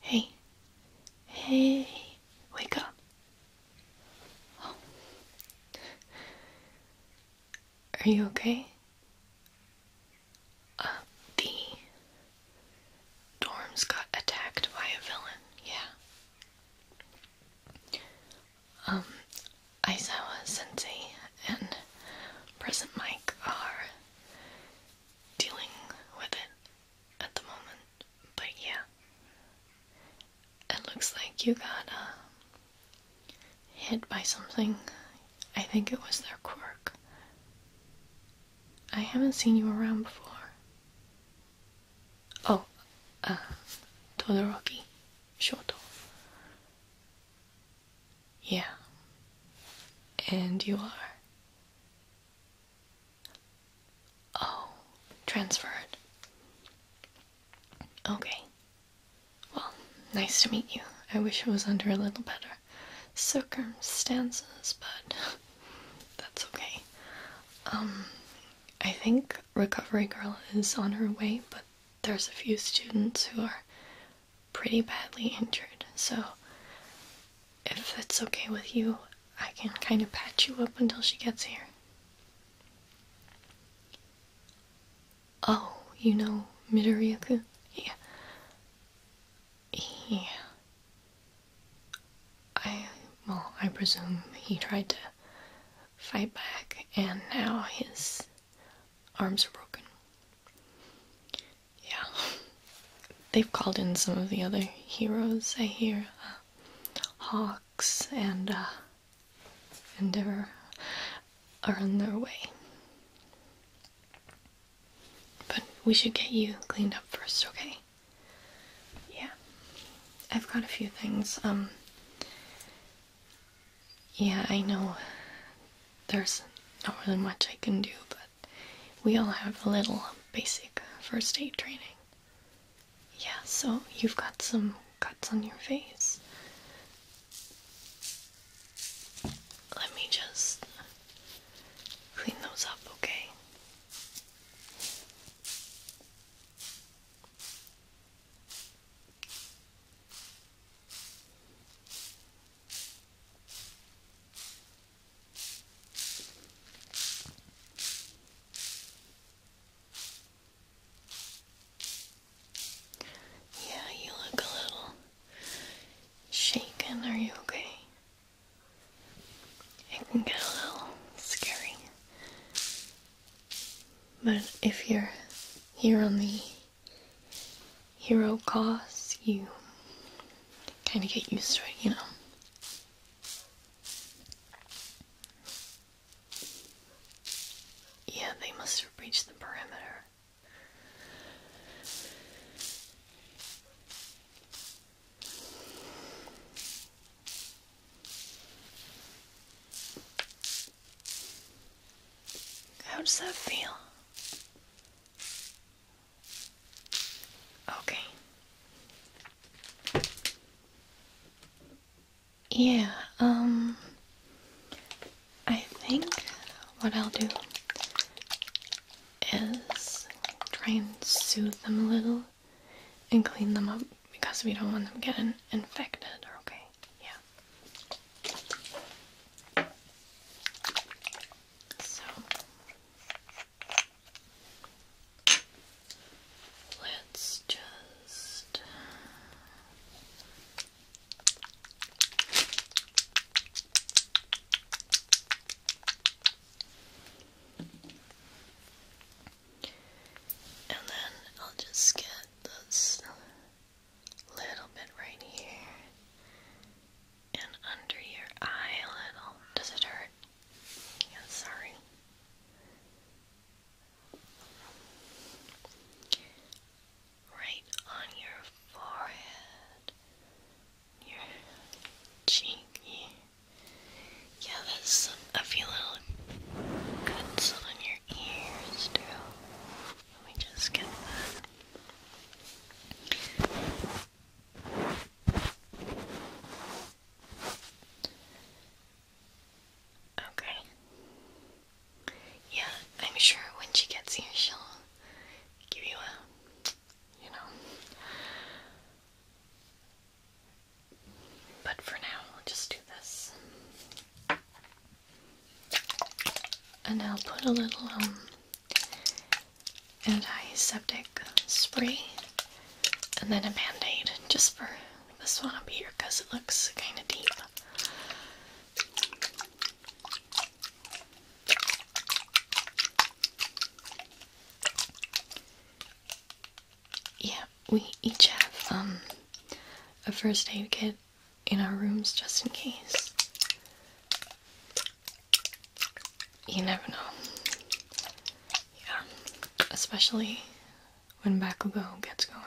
Hey, hey, wake up. Are you okay? Uh, the dorms got attacked by a villain, yeah. Um, Aizawa Sensei and President Mike are dealing with it at the moment, but yeah, it looks like you got uh, hit by something. I think it was their quirk. I haven't seen you around before. Oh, uh, Todoroki Shoto. Yeah. And you are Oh, transferred. Okay. Well, nice to meet you. I wish it was under a little better circumstances, but that's okay. Um, I think Recovery Girl is on her way, but there's a few students who are pretty badly injured, so if it's okay with you, I can kind of patch you up until she gets here. Oh, you know Midoriyaku? Yeah. Yeah. I, well, I presume he tried to fight back and now his arms are broken yeah, they've called in some of the other heroes. I hear uh, Hawks and uh, Endeavor are on their way. But we should get you cleaned up first, okay? Yeah. I've got a few things. Um Yeah, I know there's not really much I can do, but we all have a little basic first aid training. Yeah, so you've got some cuts on your face. Let me just clean those up, okay? Yeah, you look a little shaken. Are you okay? It can get a little scary. But if you're here on the hero cause, you kind of get used to it, you know. Yeah, they must have reached the perimeter. How does that feel? Okay. Yeah, um, I think what I'll do is try and soothe them a little and clean them up because we don't want them getting infected, okay? Yeah. So, Let's just and then I'll just get this little bit right here and under your eye a little. Does it hurt? Yeah, sorry. Right on your forehead, your cheeky. Yeah, that's a few little cuts on your ears too. Let me just get that. Okay. Yeah, I'm sure when she gets here, she'll give you a, you know. But for now, we'll just do this. And I'll put a little, um, antiseptic spray and then a band just for this one up here because it looks kind of deep. Yeah, we each have um, a first aid kit in our rooms just in case you never know. Yeah, especially when Bakugo gets going.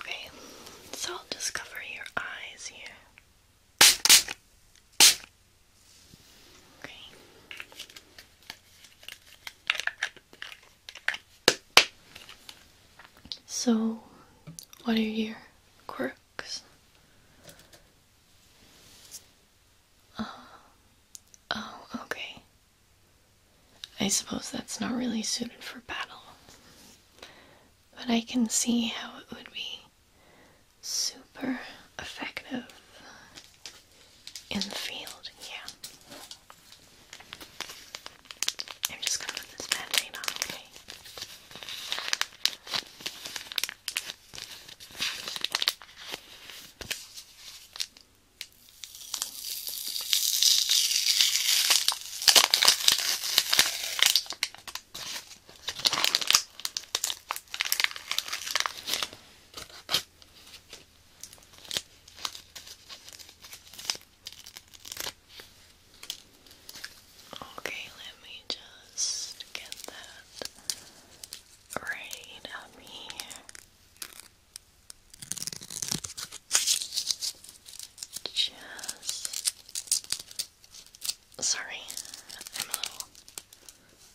Okay, so I'll just cover your eyes here. Okay. So, what are your quirks? Oh, oh. okay. I suppose that's not really suited for battle, but I can see how it would be super effective in the field, yeah. I'm just gonna put this band on, Okay, let me just just get that right up here. Just sorry, I'm a little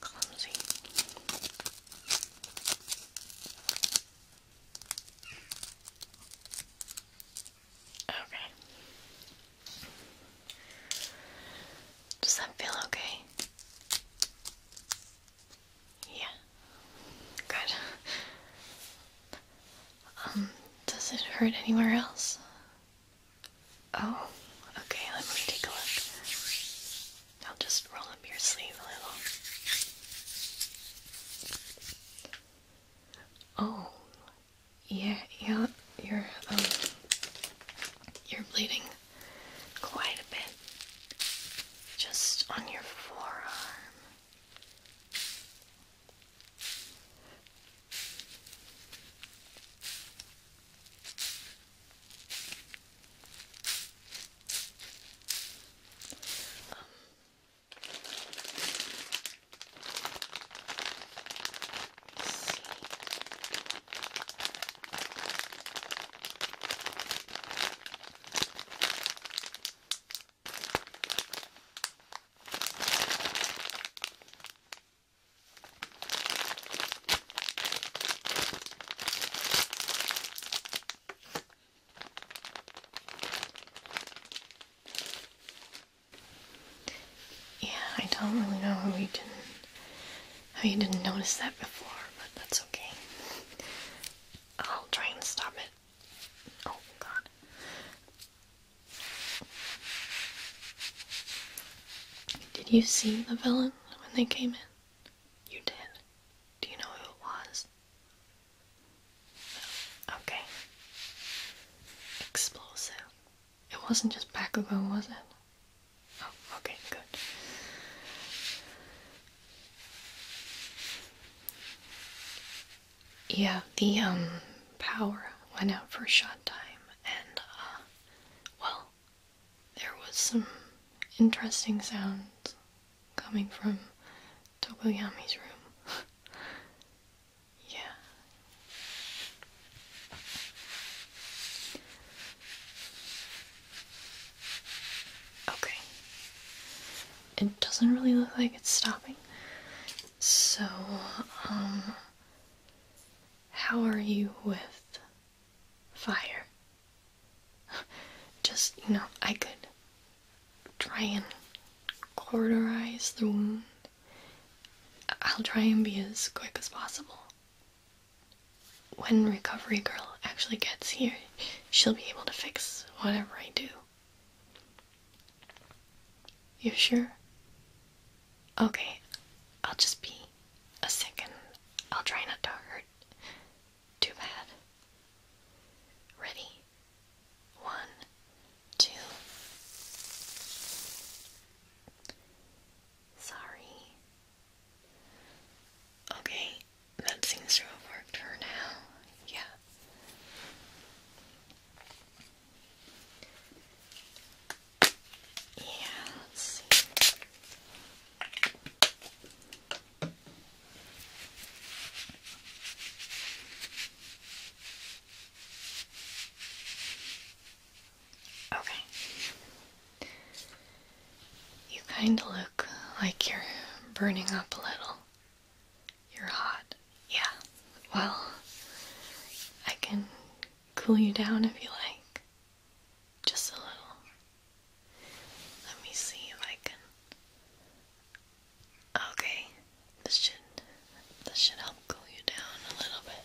clumsy. Okay. Does that feel okay? Yeah. Good. Um, does it hurt anywhere else? Oh, okay, let me take a look. I'll just roll up your sleeve a little. Oh, yeah, yeah, you're um you're bleeding quite a bit just on your forearm. Um, yeah, I don't really know who he didn't Oh, you didn't notice that before, but that's okay. I'll try and stop it. Oh god. Did you see the villain when they came in? You did. Do you know who it was? Okay. Explosive. It wasn't just back ago, was it? Oh, okay, good. Yeah, the um, power went out for a short time, and uh, well, there was some interesting sounds coming from Togoyami's room. yeah. Okay. It doesn't really look like it's stopping. So, um, how are you with fire? Just, you know, I could try and cauterize the wound. I'll try and be as quick as possible when Recovery Girl actually gets here, she'll be able to fix whatever I do. You sure? Okay, I'll just be a second. I'll try not to hurt too bad. Ready? One, two. Sorry, Okay, that seems to have worked for now. Yeah. Yeah, let's see. Okay. You kind of look like you're burning up a little. You're hot. Yeah. Well, I can cool you down if you like. Just a little. Let me see if I can. Okay. This should this should help cool you down a little bit.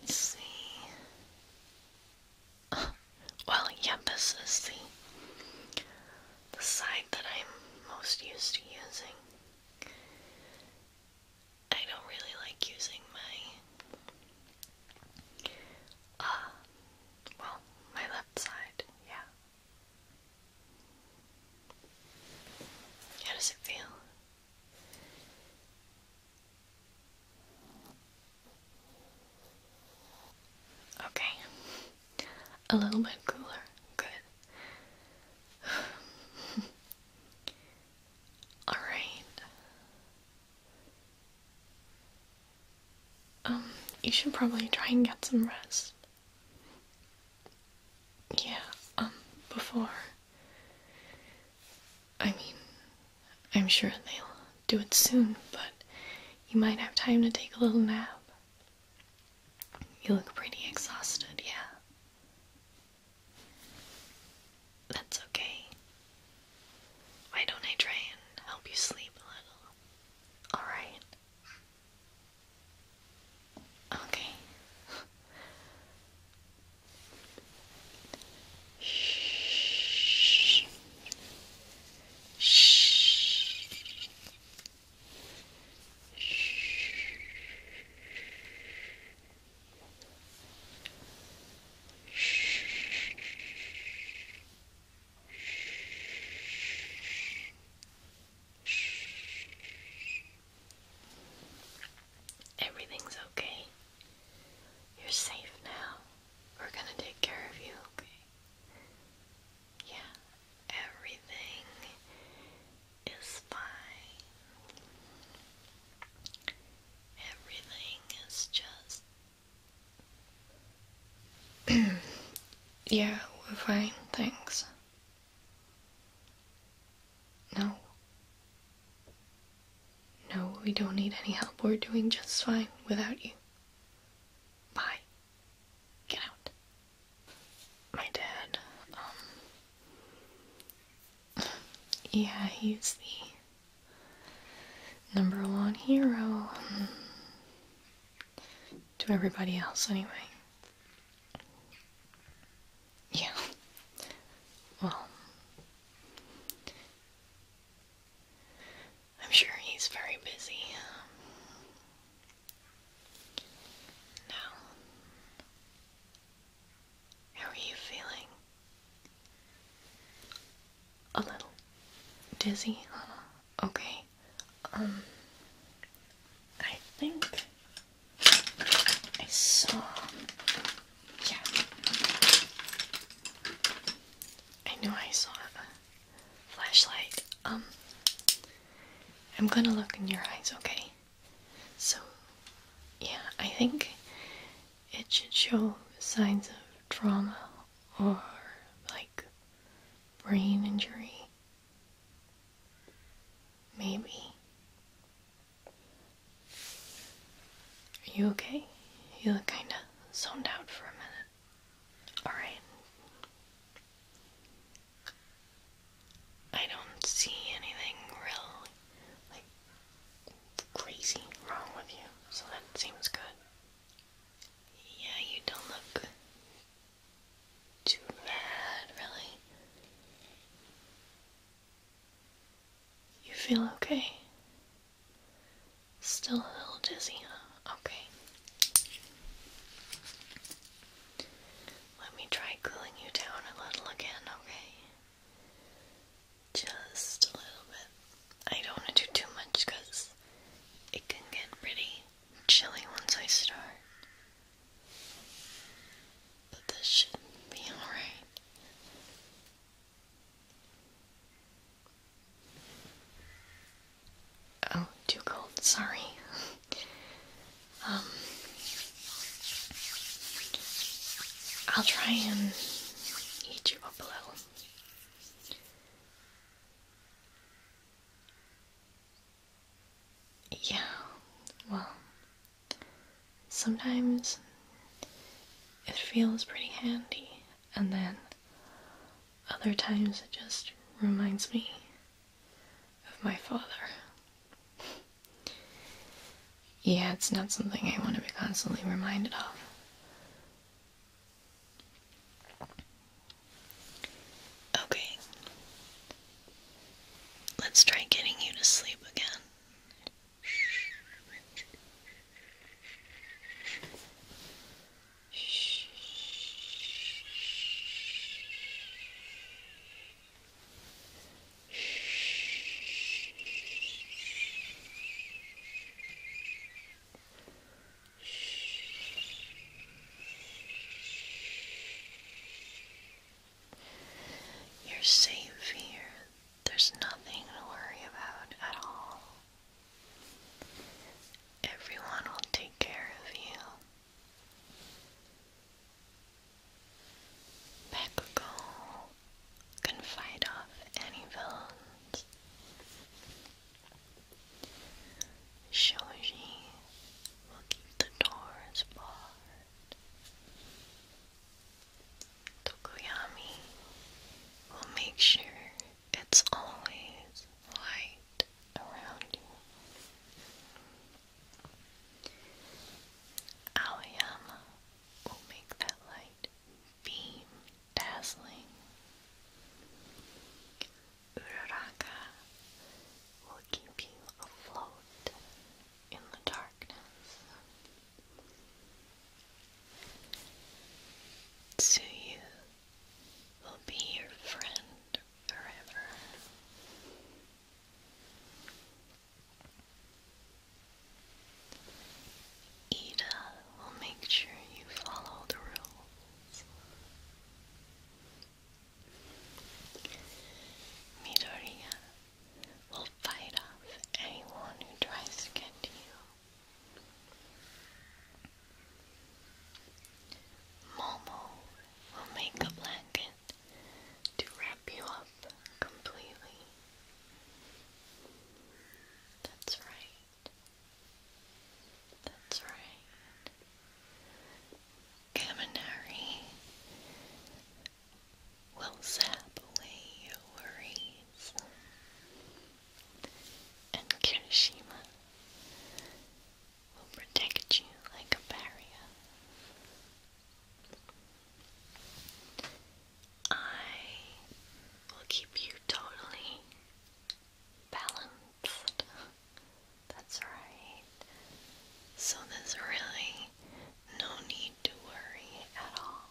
Let's see. Oh, well, yeah, this is the the side that I'm most used to using. I don't really like using my uh well, my left side, yeah. How does it feel? Okay. A little bit cooler. Good. All right. Um, you should probably try and get some rest. Yeah, um, before I mean, I'm sure they'll do it soon, but you might have time to take a little nap. You look pretty exhausted, yeah. That's okay. Why don't I try and help you sleep a little? Alright. Okay. Everything's okay. You're safe now. We're gonna take care of you, okay? Yeah, everything is fine. Everything is just. yeah, we're fine, thanks. No, no, we don't need any help. We're doing just fine without you. Bye. Get out. My dad, um, Yeah, he's the number one hero. Um, to everybody else, anyway. Yeah. Well, I'm sure he's very busy. Now, how are you feeling? A little dizzy? Okay. Um, I think I saw yeah. I knew I saw flashlight. Um, I'm gonna look in your eyes, okay? So, yeah, I think it should show signs of trauma or like brain injury. Maybe. Are you okay? You look kinda zoned out for a minute. Alright. I don't see anything real, like, crazy wrong with you, so that seems good. Yeah, you don't look too bad, really. You feel okay? Still a little dizzy, huh? Okay. Let me try cooling you down a little again, okay? Just a little bit. I don't want to do too much because it can get pretty chilly once I start. But this should be alright. Oh, too cold, sorry. um, I'll try and heat you up a little. Yeah, well, sometimes it feels pretty handy, and then other times it just reminds me of my father. Yeah, it's not something I want to be constantly reminded of. Okay. Let's try getting you to sleep again. You're safe here there's nothing to worry about at all. Everyone will take care of you. Bakugo can fight off any villains. Shoji will keep the doors barred. Tokoyami will make sure it's always light around you. Aoyama will make that light beam dazzling. Uraraka will keep you afloat in the darkness. Tsuyu will be your friend forever. Ida will make sure you follow the rules. Midoriya will fight off anyone who tries to get you. Momo will make a blanket to wrap you up completely. That's right. That's right. Kaminari will zap away your worries and Kirishima will protect you like a barrier. I will keep you totally balanced. That's right. So there's really no need to worry at all.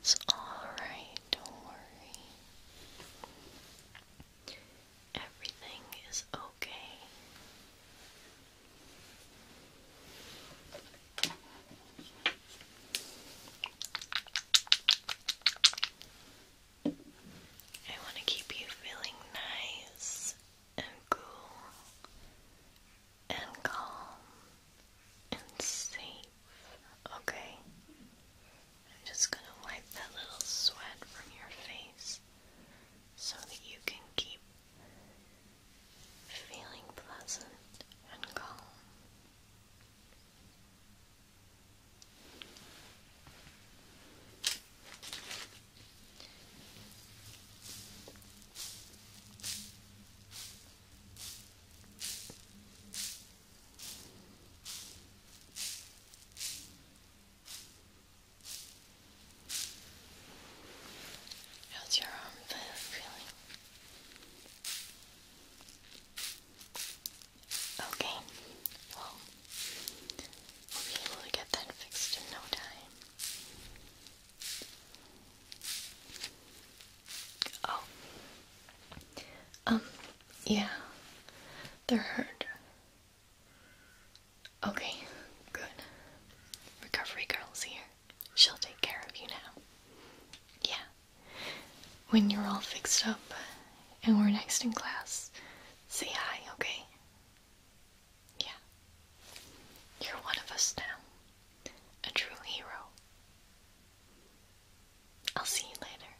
It's okay. That's all right. Don't worry. Everything is okay. I want to keep you feeling nice and cool and calm and safe, okay? I'm just going to wipe that little sweat from your face so that you can keep feeling pleasant and calm. How's your arm feeling? Okay, well, we'll be able to get that fixed in no time. Oh, um, yeah, they're hurt. Okay, good. Recovery Girl's here. She'll take care of you now. Yeah. When you're all fixed up and we're next in class, say hi, okay? Yeah. You're one of us now. A true hero. I'll see you later.